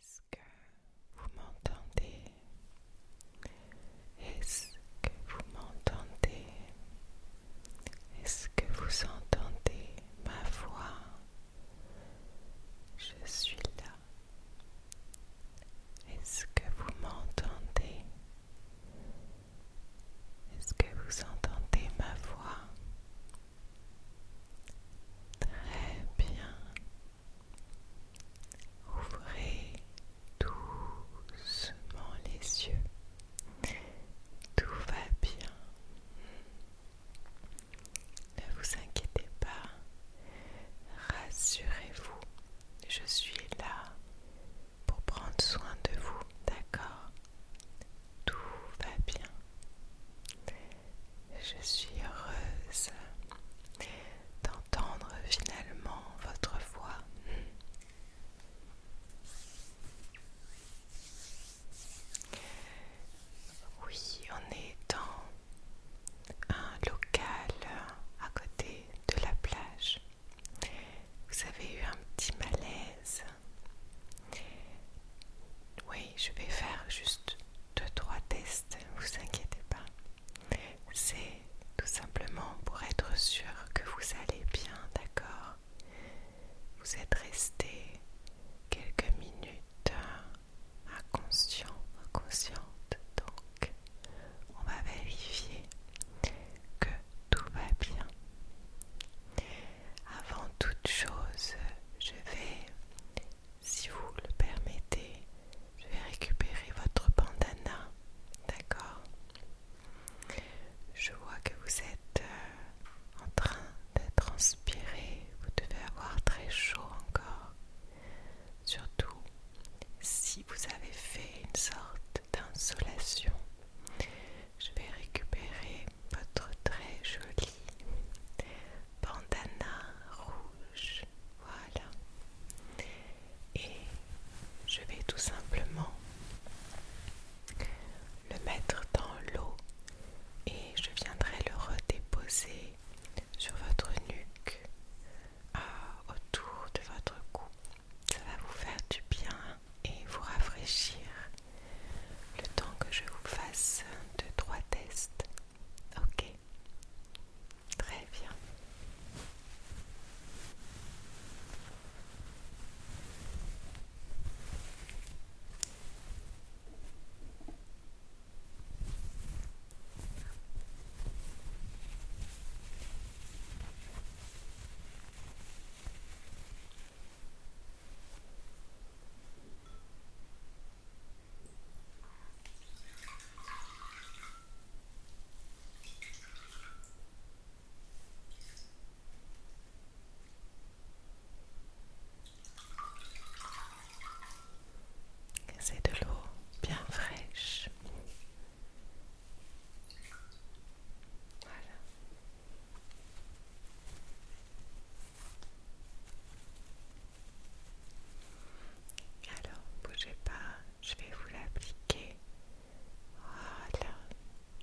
Est-ce que vous m'entendez Est-ce que vous m'entendez Est-ce que vous entendez ma voix Je suis là. Est-ce que vous m'entendez Est-ce que vous entendez ma voix Très bien. Ouvrez doucement les yeux. Tout va bien. Ne vous inquiétez pas. Rassurez-vous. Je suis là pour prendre soin de vous. D'accord Tout va bien. Je suis heureuse d'entendre finalement votre voix. Oui, on est dans un local à côté de la plage. Vous avez eu un petit malaise. Oui, je vais faire juste deux, trois tests ne vous inquiétez pas. C'est tout simplement pour être sûr que vous allez bien, d'accord Vous êtes resté quelques minutes inconscient, inconsciente, donc on va vérifier que tout va bien. Avant toute chose, je vais si vous le permettez, je vais récupérer votre bandana, d'accord Je vois que vous êtes euh, en train de transpirer, vous devez avoir très chaud encore, surtout si vous avez fait une sorte d'insolation. Je vais récupérer votre très joli bandana rouge. Voilà. Et je vais tout simplement le mettre dans l'eau et je viendrai le redéposer sur votre nuque, autour de votre cou. Ça va vous faire du bien et vous rafraîchir le temps que je vous fasse 2 trois tests Ok, très bien. C'est de l'eau bien fraîche. Voilà. Alors, bougez pas, je vais vous l'appliquer. Voilà,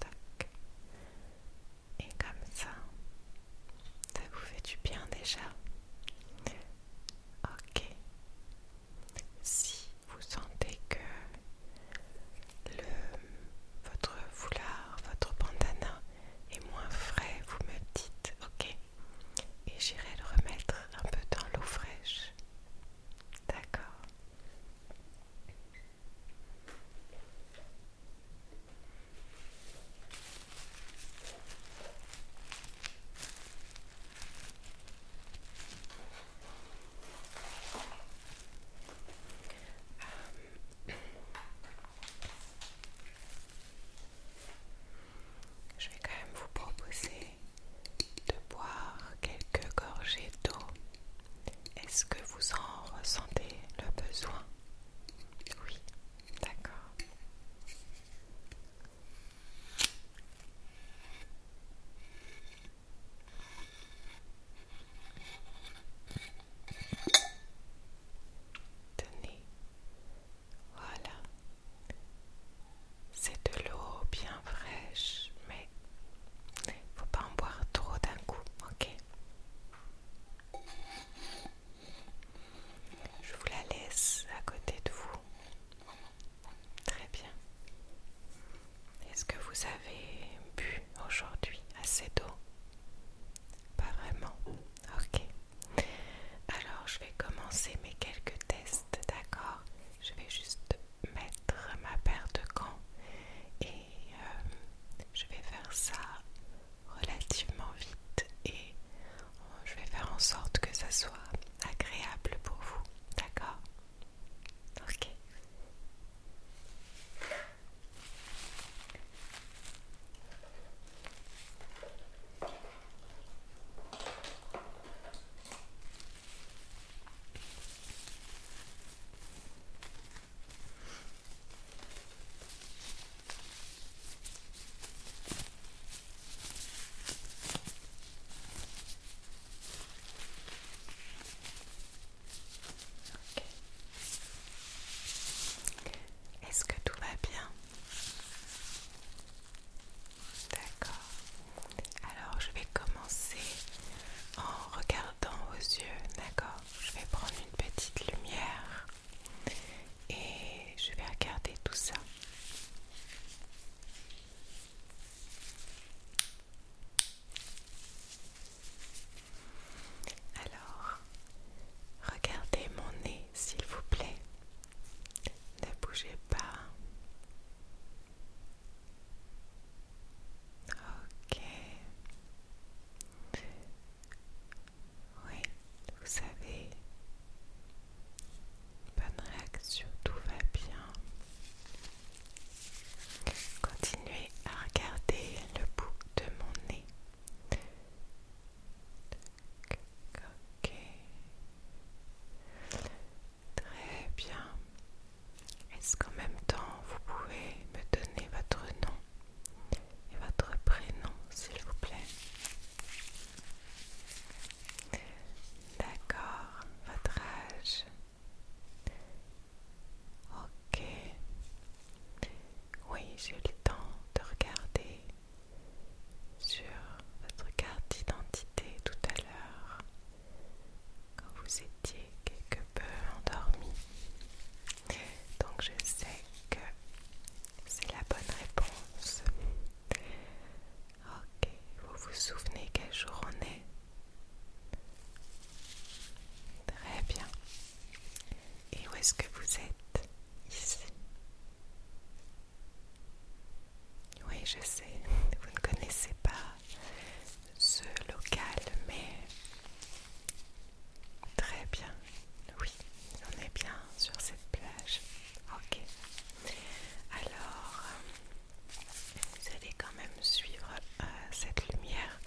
tac. Et comme ça, ça vous fait du bien déjà. Ok. Si vous sentez que le, votre foulard, votre bandana est moins frais, vous me dites, ok, et j'irai le remettre un peu dans l'eau fraîche. D'accord. Euh, Je vais quand même vous proposer de boire quelques gorgées d'eau. Est-ce que vous en ressentez le besoin Oui, d'accord. Tenez, voilà, c'est de l'eau bien fraîche, mais faut pas en boire trop d'un coup, ok Je vous la laisse à côté de vous. Très bien. Est-ce que vous avez bu aujourd'hui assez d'eau Pas vraiment. Ok. Alors je vais commencer mes quelques tests, d'accord Je vais juste mettre ma paire de gants et euh, je vais faire ça relativement vite et euh, je vais faire en sorte que ça soit agréable pour vous, d'accord Ok. Est-ce que tout va bien D'accord. Alors je vais commencer en regardant aux yeux, d'accord Je vais prendre une petite lumière et je vais regarder tout ça. Alors, regardez mon nez, s'il vous plaît. Ne bougez pas. Ok. Oui, vous savez, bonne réaction, tout va bien. Continuez à regarder le bout de mon nez. Ok. Très bien. Est-ce qu'en même temps, vous pouvez me donner votre nom et votre prénom, s'il vous plaît D'accord, votre âge. Ok. Oui, j'ai eu le temps de regarder sur votre carte d'identité tout à l'heure quand vous étiez quelque peu endormi. Donc je sais que c'est la bonne réponse. Ok, vous vous souvenez quel jour on est Très bien. Et où est-ce que vous êtes Ici. Oui, je sais, vous ne connaissez pas ce local, mais très bien. Oui, on est bien sur cette plage. Ok. Alors, vous allez quand même suivre euh, cette lumière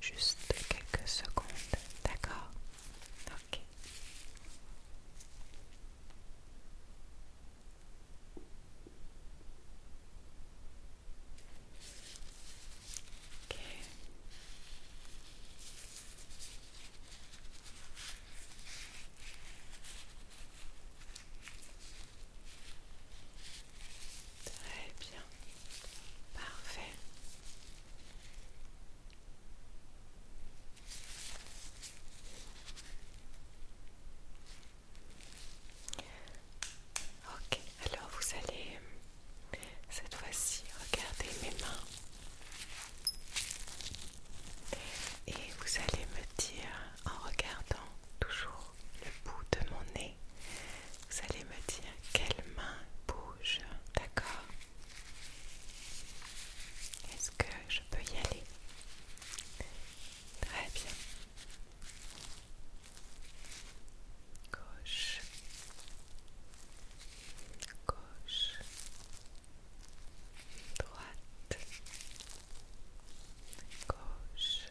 juste quelques secondes, d'accord Ok. Très bien. Parfait. Ok, alors vous allez cette fois-ci regarder mes mains et vous allez me dire en regardant toujours le bout de mon nez, vous allez me dire quelle main bouge, d'accord que je peux y aller. Très bien. Gauche. Gauche. Droite. Gauche.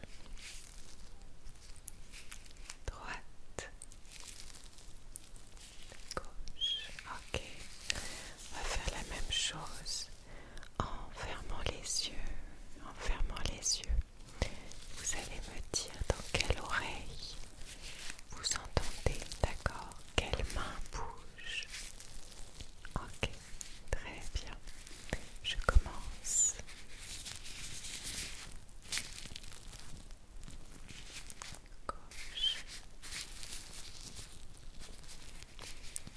Droite. Gauche. Ok. On va faire la même chose en fermant les yeux, en fermant les yeux, vous allez me dire dans quelle oreille vous entendez, d'accord Quelle main bouge Ok, très bien. Je commence. Gauche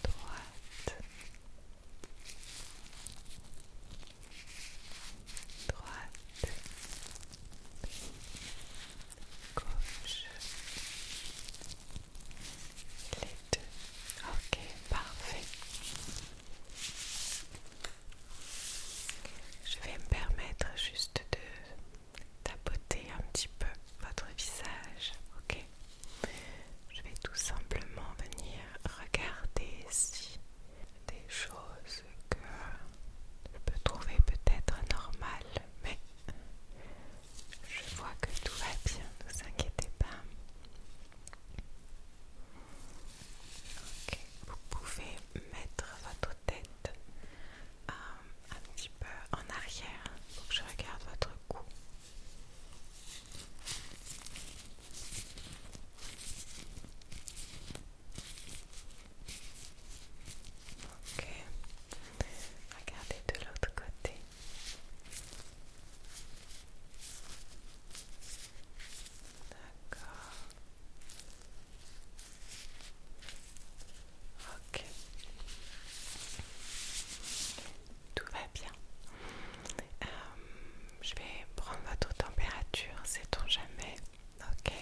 droite, droite, gauche, les deux. Ok, parfait. Je vais me permettre juste de tapoter un petit peu votre visage, ok je vais tout simplement venir regarder si des choses que je peux trouver peut-être normales, mais je vois que tout va bien, ne vous inquiétez pas. vous pouvez mettre votre tête euh, un petit peu en arrière pour que je regarde votre cou. Ok, regardez de l'autre côté. D'accord. Ok tout va bien. Euh, je vais prendre votre température, c'est on jamais. Ok.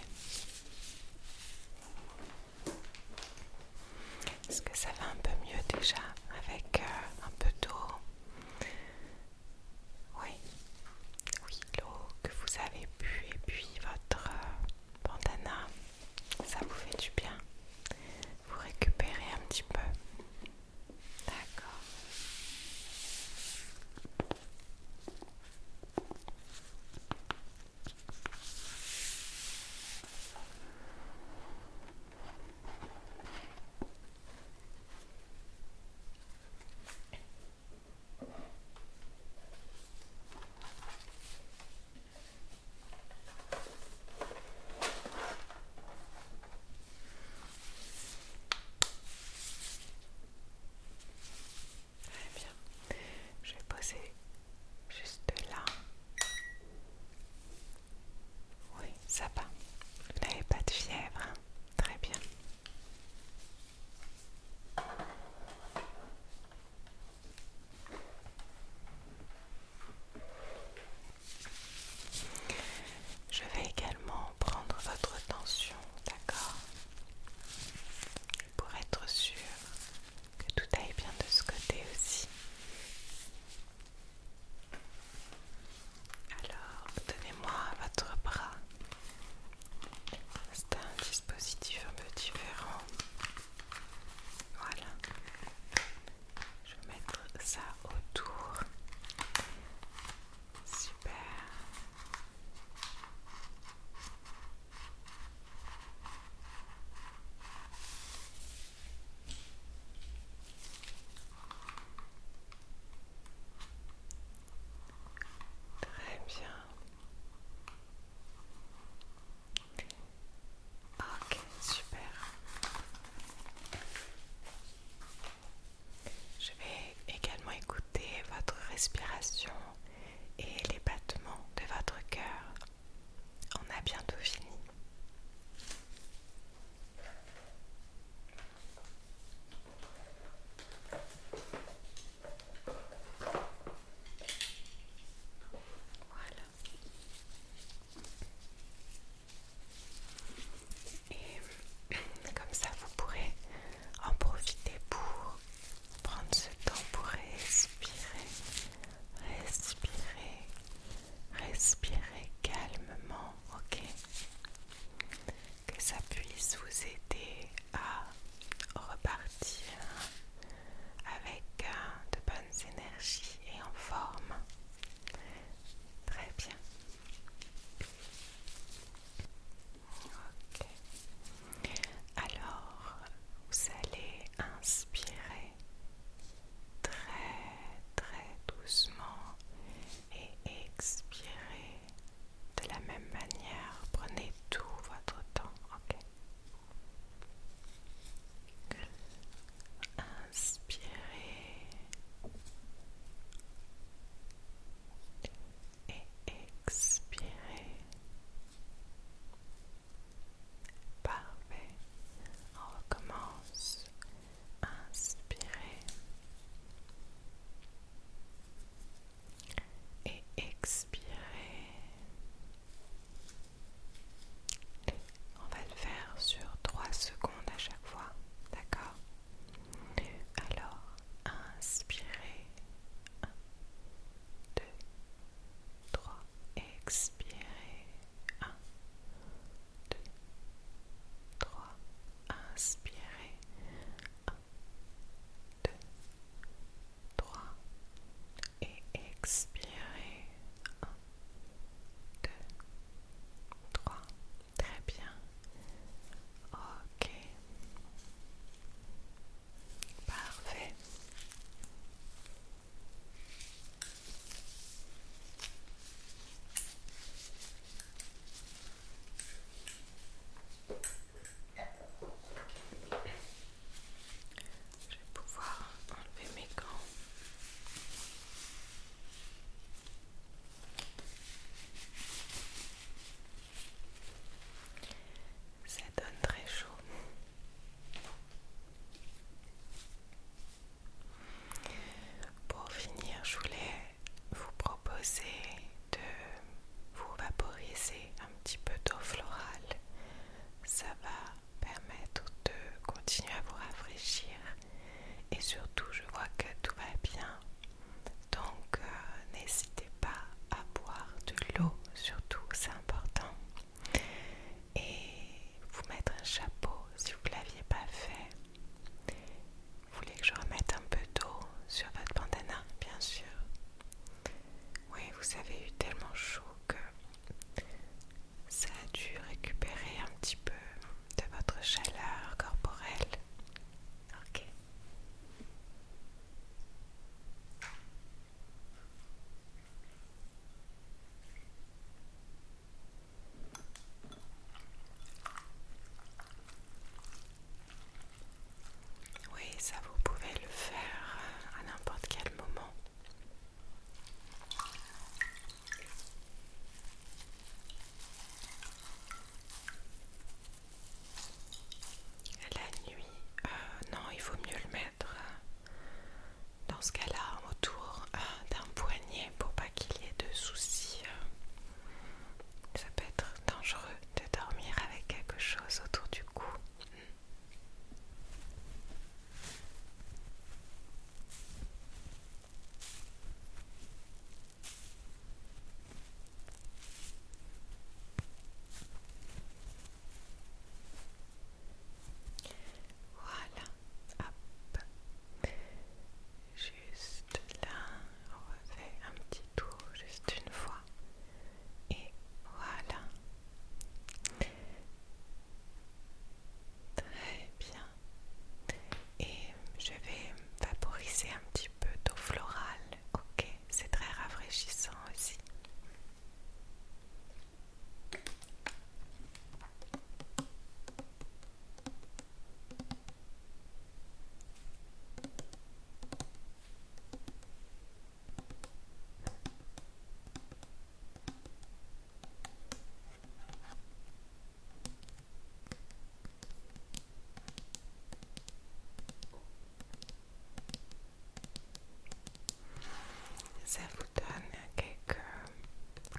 Est-ce que ça va un peu mieux déjà avec euh, un peu d'eau Oui. Oui, l'eau que vous avez bu et puis votre euh, bandana, ça vous fait du bien. Vous récupérez un petit peu. D'accord. Très eh bien. Je vais poser juste là. Oui, ça va. Vous n'avez pas de fièvre. Hein. Très bien. Je vais également prendre votre tension, d'accord Pour être sûr que tout aille bien de ce côté aussi. Alors, donnez-moi votre bras. C'est un dispositif un peu différent. Voilà. Je vais mettre ça autour. Super. Très bien. Ok, super. Je vais également écouter votre respiration et les battements de votre cœur. On a bientôt fini. Voilà. Et comme ça, vous pourrez en profiter pour prendre ce temps pour respirer, respirer, respirer calmement, ok Que ça puisse vous aider à repartir avec euh, de bonnes énergies et en forme. Très bien. Alors, vous allez inspirer très très doucement et expirer de la même manière. Prenez tout votre temps. Ok. Inspirez. Et expirez. Parfait. On recommence. Inspirez. Et expirez. On va le faire sur trois secondes à chaque fois, d'accord Alors, inspirez. un, 2, 3. Expirez. 1, 2, 3. Inspirez. 1, 2, 3. Et expirez. 1, 2, 3. Très bien. Ok. Parfait. Je vais pouvoir enlever mes gants. Ça donne très chaud. Pour finir, je voulais vous proposer de vous vaporiser un petit peu d'eau florale. Ça va permettre de continuer à vous rafraîchir et surtout je vois que tout va bien donc euh, n'hésitez pas à boire de l'eau surtout c'est important et vous mettre un chapeau si vous ne l'aviez pas fait vous voulez que je remette un peu d'eau sur votre bandana bien sûr oui vous avez eu tellement chaud que ça a dû récupérer un petit peu de votre chaleur corporelle. Ok. Oui, ça vous pouvez le faire à n'importe quel moment. La nuit, euh, non, il vaut mieux le mettre euh, dans ce cas-là autour euh, d'un poignet pour pas qu'il y ait de soucis. ça peut être dangereux de dormir avec quelque chose autour du cou. Voilà, hop, juste là, on fait un petit tour juste une fois, et voilà. Très bien et je vais vaporiser un petit peu d'eau florale. Ok, c'est très rafraîchissant aussi. Ça vous donne quelques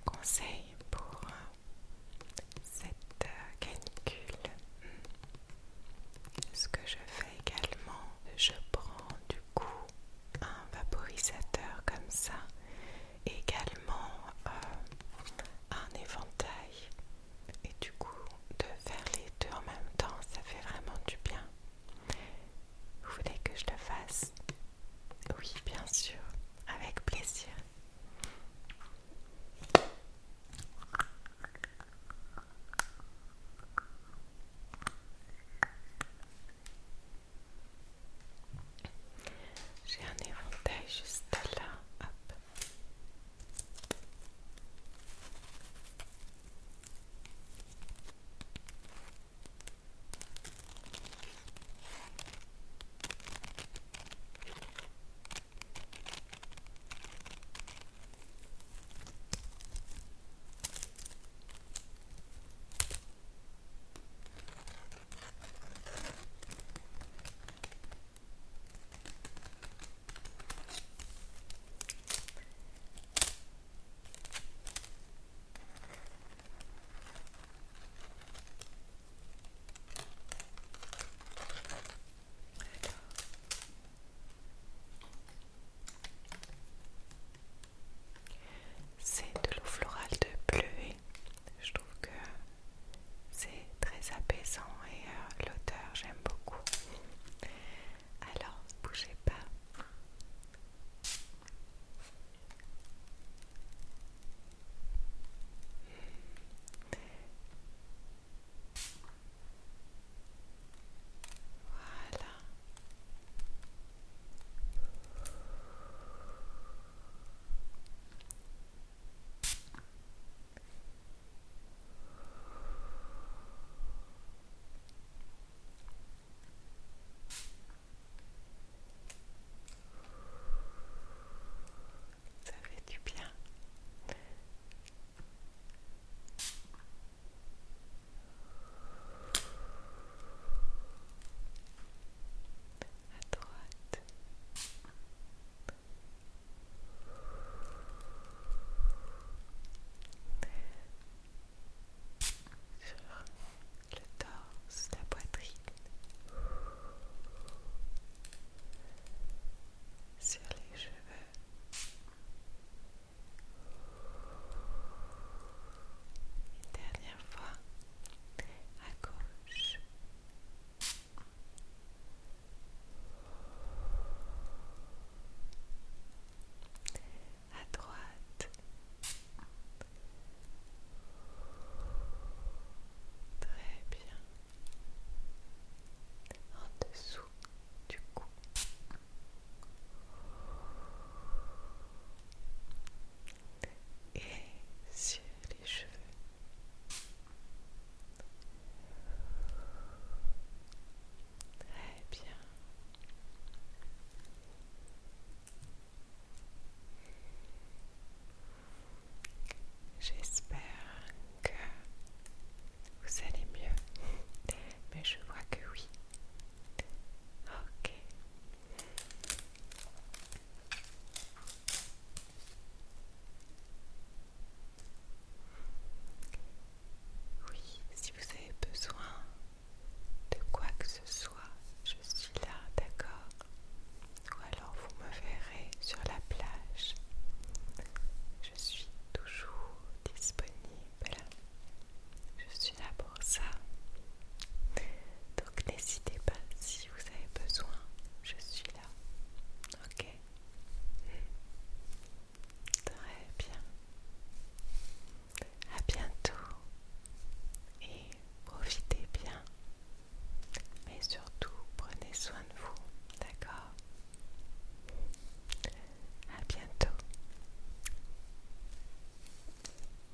conseils pour euh, cette euh, canicule. Ce que je fais également, je prends du coup un vaporisateur comme ça également euh, un éventail et du coup de faire les deux en même temps ça fait vraiment du bien vous voulez que je le fasse oui bien sûr avec plaisir j'ai un éventail juste là. C'est de l'eau florale de bleuet je trouve que c'est très apaisant et euh, l'auteur l'odeur, j'aime beaucoup. Alors, ne bougez pas. Voilà. Ça fait du bien à droite. Sur le torse, la poitrine. Sur les cheveux. Une dernière fois à gauche à droite, très bien, en dessous du cou. Et sur les cheveux. Très bien. J'espère que vous allez mieux, mais je vois que oui. Ok. Oui, si vous avez besoin de quoi que ce soit, je suis là, d'accord Ou alors vous me verrez sur la plage. Je suis toujours disponible. Je suis là pour ça. Donc n'hésitez pas si vous avez besoin, je suis là. Ok Très bien. À bientôt et profitez bien. Mais surtout, prenez soin de vous, d'accord À bientôt.